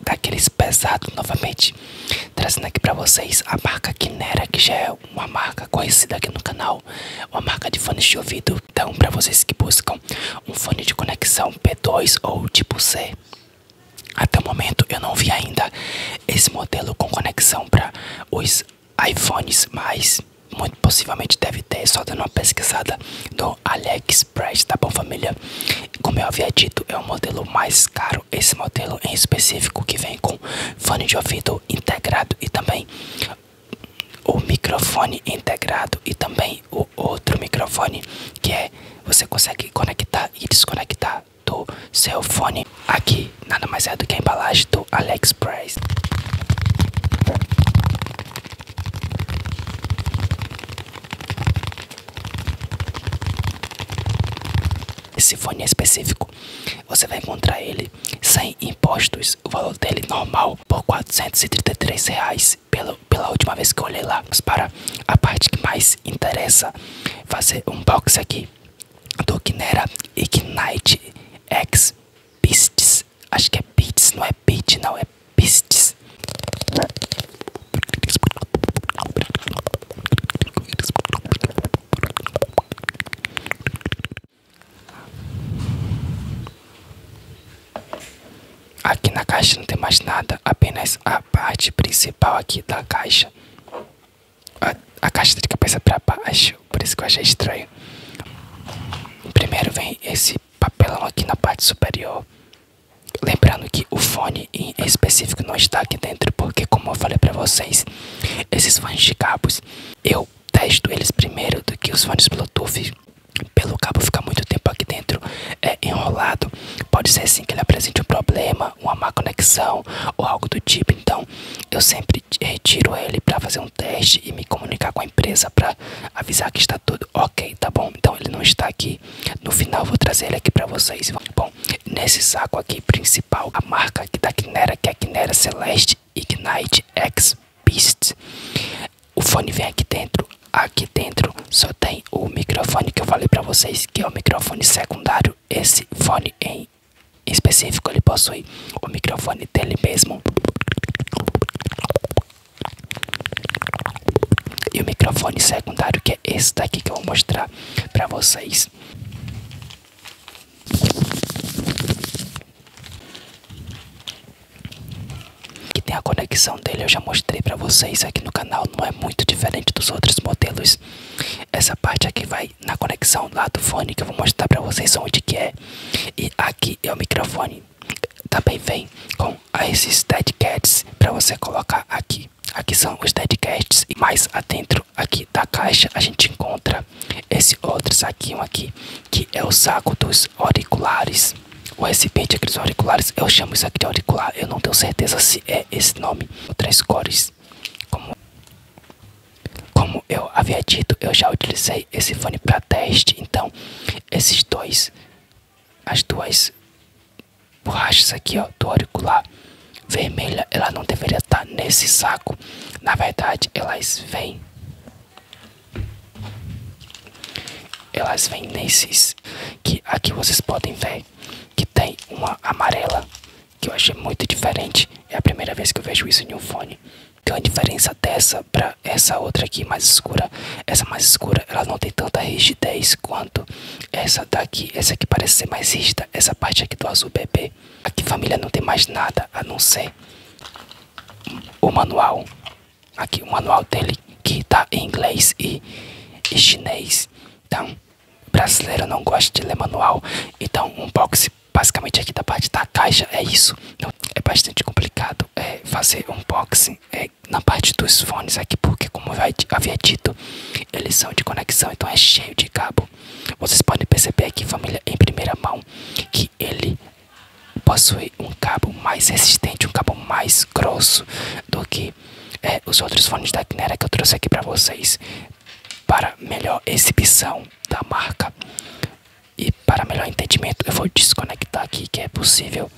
daqueles pesados novamente, trazendo aqui para vocês a marca Kinera que já é uma marca conhecida aqui no canal, uma marca de fones de ouvido. Então, para vocês que buscam um fone de conexão P2 ou tipo C, até o momento eu não vi ainda esse modelo com conexão para os iPhones, mas muito possivelmente deve só dando uma pesquisada no Alex AliExpress, tá bom família? Como eu havia dito, é o modelo mais caro, esse modelo em específico que vem com fone de ouvido integrado e também o microfone integrado e também o outro microfone que é você consegue conectar e desconectar do seu fone aqui nada mais é do que a embalagem do Alex AliExpress esse fone específico, você vai encontrar ele sem impostos, o valor dele normal por 433 reais pela, pela última vez que eu olhei lá. Mas para a parte que mais interessa, fazer um box aqui do Kinera Ignite X Beasts Acho que é Beats, não é beats, não, é beats. Aqui na caixa não tem mais nada, apenas a parte principal aqui da caixa. A, caixa tá de cabeça pra baixo, por isso que eu achei estranho. Primeiro vem esse papelão aqui na parte superior. Lembrando que o fone em específico não está aqui dentro, porque como eu falei para vocês, esses fones de cabos, eu testo eles primeiro do que os fones Bluetooth. Pelo cabo ficar muito tempo aqui dentro é, enrolado, pode ser assim que ele apresente um problema, uma má conexão ou algo do tipo. Então eu sempre retiro ele para fazer um teste e me comunicar com a empresa para avisar que está tudo ok, tá bom? Então ele não está aqui. No final vou trazer ele aqui para vocês. Bom, nesse saco aqui principal, a marca aqui da Quinera, que é a Quinera Celeste Ignite X Beast. O fone vem aqui dentro. Aqui dentro só tem o microfone que eu falei para vocês, que é o microfone secundário. Esse fone em específico ele possui o microfone dele mesmo e o microfone secundário que é esse daqui que eu vou mostrar pra vocês. Que tem a conexão dele, eu já mostrei pra vocês aqui no canal, não é muito diferente dos outros modelos. Essa parte aqui vai na conexão lá do fone que eu vou mostrar pra vocês onde que é. E aqui é o microfone também tá vem com esses Deadcats para você colocar aqui. Aqui são os Deadcats e mais adentro aqui da caixa a gente encontra esse outro saquinho aqui que é o saco dos auriculares. O recipiente aqueles dos auriculares, eu chamo isso aqui de auricular, eu não tenho certeza se é esse nome ou três cores. Como, como eu havia dito, eu já utilizei esse fone para teste. Então, esses dois, as duas borrachas aqui ó, do auricular vermelha, ela não deveria estar tá nesse saco. Na verdade, elas vêm. Elas vêm nesses que aqui vocês podem ver que tem uma amarela que eu achei muito diferente. É a primeira vez que eu vejo isso em um fone. Tem a diferença dessa para essa outra aqui mais escura. Essa mais escura, ela não tem tanta rigidez quanto essa daqui. Essa aqui parece ser mais rígida. Essa parte aqui do azul bebê. Aqui família não tem mais nada a não ser o manual. Aqui o manual dele que tá em inglês e, chinês. Então, brasileiro não gosta de ler manual. Então, um box basicamente aqui da parte da caixa é isso. Então, é bastante complicado é, fazer unboxing é, na parte dos fones aqui, porque como eu havia dito, eles são de conexão, então é cheio de cabo. Vocês podem perceber aqui, família, em primeira mão, que ele possui um cabo mais resistente, um cabo mais grosso do que é, os outros fones da Kinera que eu trouxe aqui para vocês para melhor exibição da marca. E para melhor entendimento eu vou desconectar aqui que é possível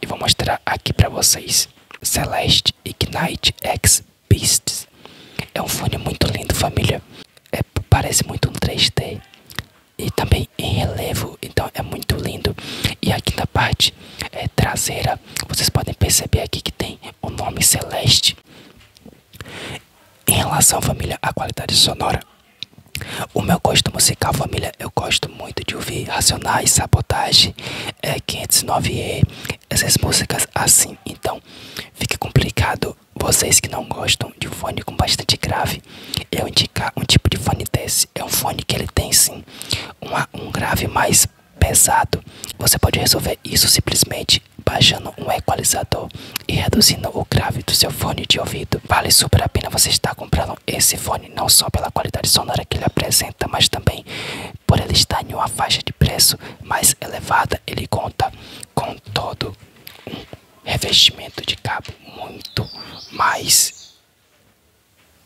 E vou mostrar aqui para vocês Celeste Ignite X Beast. É um fone muito lindo família é, Parece muito um 3D E também em relevo Então é muito lindo E aqui na parte é, traseira Vocês podem perceber aqui que tem o nome Celeste em relação à família, a qualidade sonora. O meu gosto musical, família, eu gosto muito de ouvir Racionais, Sabotagem, é, 509E, essas músicas assim. Então, fica complicado vocês que não gostam de fone com bastante grave. Eu indicar um tipo de fone desse. É um fone que ele tem sim uma, um grave mais pesado. Você pode resolver isso simplesmente baixando um equalizador e reduzindo o grave do seu fone de ouvido. Vale super a pena você estar comprando esse fone, não só pela qualidade sonora que ele apresenta, mas também por ele estar em uma faixa de preço mais elevada. Ele conta com todo um revestimento de cabo muito mais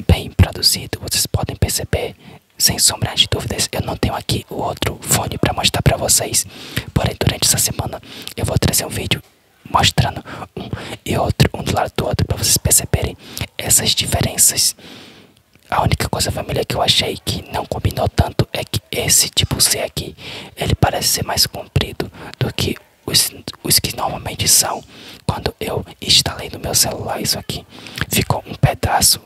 bem produzido. Vocês podem perceber, sem sombras de dúvidas, eu não tenho aqui o outro fone para mostrar para vocês, Porém, durante essa semana eu vou trazer um vídeo mostrando um e outro, um do lado do outro, para vocês perceberem essas diferenças. A única coisa família que eu achei que não combinou tanto é que esse tipo C aqui, ele parece ser mais comprido do que os, os que normalmente são. Quando eu instalei no meu celular isso aqui, ficou um pedaço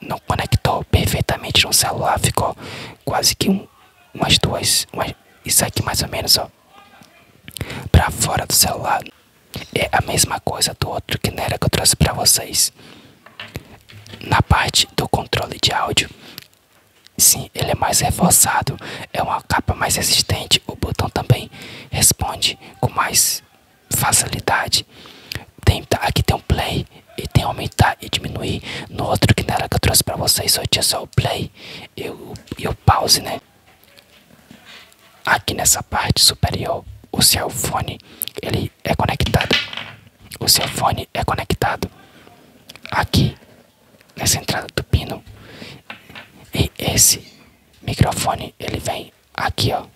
não conectou perfeitamente no celular, ficou quase que um, umas duas, umas, isso aqui mais ou menos, ó, pra fora do celular. É a mesma coisa do outro que nera que eu trouxe pra vocês. Na parte do controle de áudio, sim, ele é mais reforçado, é uma capa mais resistente, o botão também responde com mais facilidade. Tem, aqui tem um play e tem aumentar e diminuir. No outro que na hora que eu trouxe pra vocês só tinha só o play e o, pause, né? Aqui nessa parte superior, o seu fone ele é conectado. O seu fone é conectado aqui nessa entrada do pino. E esse microfone ele vem aqui, ó.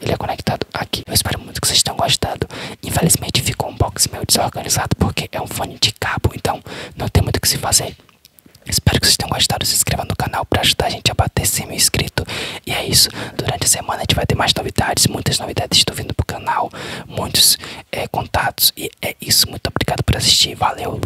Ele é conectado aqui. Eu espero muito que vocês tenham gostado. Infelizmente ficou um box meio desorganizado porque é um fone de cabo, então não tem muito o que se fazer. Espero que vocês tenham gostado. Se inscreva no canal para ajudar a gente a bater 100 mil inscritos. E é isso. Durante a semana a gente vai ter mais novidades. Muitas novidades estão vindo pro canal. Muitos é, contatos. E é isso. Muito obrigado por assistir. Valeu.